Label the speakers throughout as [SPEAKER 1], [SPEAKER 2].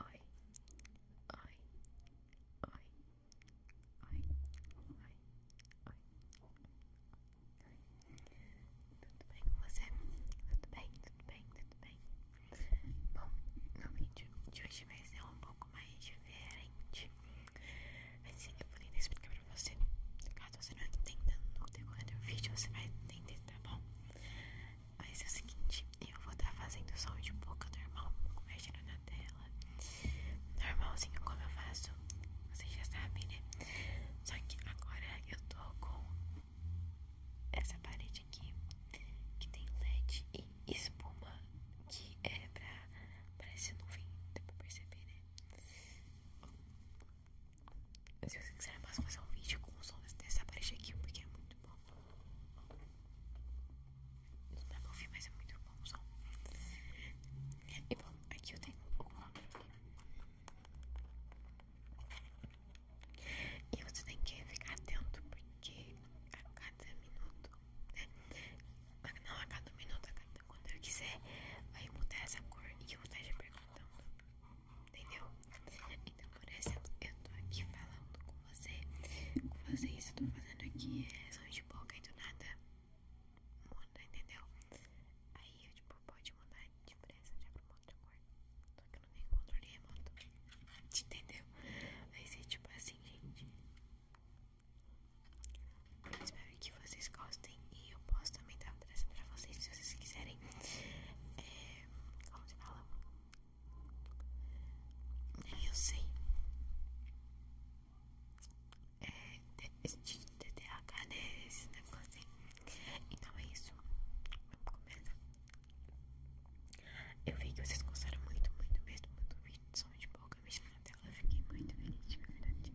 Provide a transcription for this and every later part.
[SPEAKER 1] Oi, oi, oi, oi, oi, oi. Tudo bem com você? Tudo bem, tudo bem, tudo bem. Bom, no vídeo de hoje vai ser um pouco mais diferente. Assim, eu vou tentar explicar para você. Caso você não entenda no decorrer do vídeo, você vai entender, tá bom? Mas é o seguinte, eu vou estar tá fazendo som de boca normal, mexendo na tela. Normalzinho como eu faço, vocês já sabem, né? Só que agora eu tô com essa parede aqui que tem LED e espuma que é pra. parece nuvem, deu pra perceber, né? se você quiser, eu posso fazer um vídeo com o som desse aparelho aqui, porque é muito bom. Não dá pra ouvir, mas é muito bom o som. E bom, aqui eu tenho o nome. E você tem que ficar atento, porque a cada minuto, né? Não, a cada minuto, a cada, quando eu quiser, vai mudar essa cor e eu vou estar te perguntando entendeu? Então, por exemplo, eu tô aqui falando com você, com vocês, eu tô fazendo aqui relação de boca e do nada muda, entendeu? Aí, eu, tipo, pode mudar de pressa já pra uma outra cor, tô aqui eu não tenho controle remoto, entendeu? Vai ser tipo assim, gente. Eu espero que vocês gostem e eu posso também estar pra trazer pra vocês se vocês quiserem. É, como se fala? Nem eu sei. É, TDAH, né? Esse negócio assim. Então é isso. Vamos começar. Eu vi que vocês gostaram muito, muito mesmo do vídeo de som de boca mexendo na tela. fiquei muito feliz, de verdade.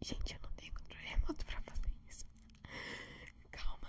[SPEAKER 1] Gente, eu não tenho controle remoto pra fazer isso. Calma.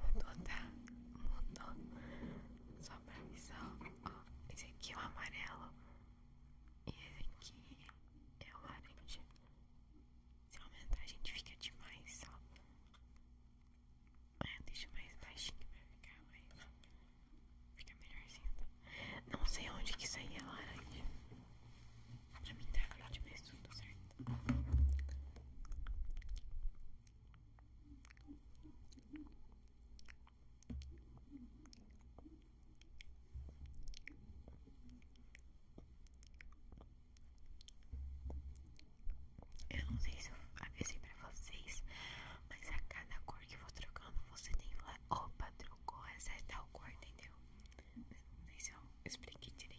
[SPEAKER 1] Mudou, tá? Mudou. Só pra avisar, ó. Esse aqui é o amarelo. E esse aqui é o laranja. Se aumentar, a gente fica demais, ó deixa mais baixinho que vai ficar mais. Fica melhorzinho. Não sei onde que saiu a é laranja. Pra mim tá verde, mas tudo certo. Tá eu não sei se eu avisei pra vocês, mas a cada cor que eu vou trocando, você tem que opa, trocou essa é tal cor, entendeu? Não sei se eu expliquei direito.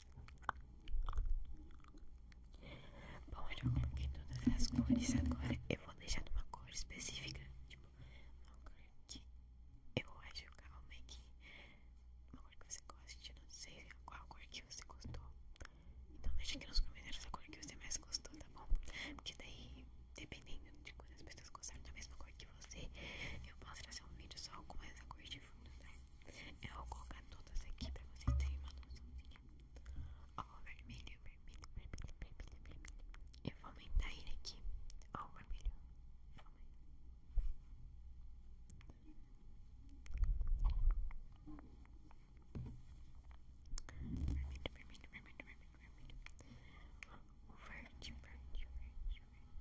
[SPEAKER 1] Bom, eu já coloquei todas as cores. Agora eu vou deixar de uma cor específica. Tipo, uma cor que eu acho calma e é que. Uma cor que você goste. Não sei qual cor que você gostou. Então, deixa aqui nos comentários a cor que você mais gostou, tá bom? Porque daí, dependendo de quantas pessoas gostaram da mesma cor que você, eu posso trazer um vídeo só com essa cor de fundo, tá? Eu vou colocar todas aqui para vocês terem uma noçãozinha. Ó, o vermelho, vermelho, vermelho, vermelho, vermelho. Eu vou aumentar ele aqui. Ó, o vermelho. Vermelho, vermelho, vermelho, vermelho, verde, verde, verde, verde.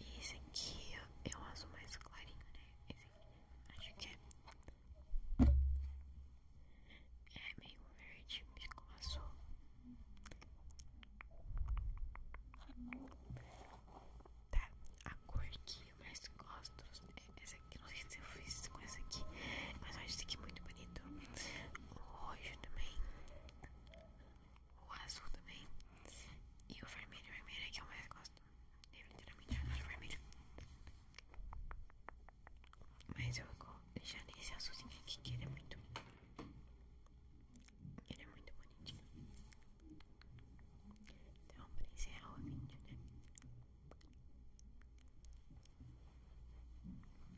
[SPEAKER 1] E esse aqui é um azul mais clarinho, né? Esse aqui, acho que é. É meio verde, com azul. Tá, a cor aqui eu mais gosto é essa aqui. Não sei se eu fiz com essa aqui, mas eu acho esse aqui muito bonito. O roxo também o azul também. E o vermelho, o vermelho é que eu mais gosto. Eu literalmente adoro é vermelho. Mas eu vou deixar esse azulzinho aqui que ele é muito. Ele é muito bonitinho. Então, pra encerrar o vídeo, né?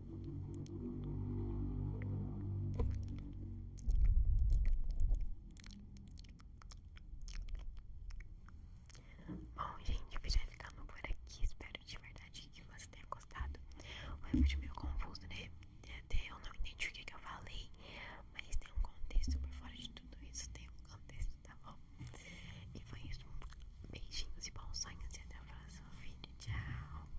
[SPEAKER 1] Bom, gente, eu já ficando por aqui. Espero de verdade que você tenha gostado. Foi vídeo meio confuso, né? Até eu não entendi o que, que eu falei, mas tem um contexto por fora de tudo isso. Tem um contexto, tá bom? E foi isso. Beijinhos e bons sonhos. E até o próximo vídeo. Tchau.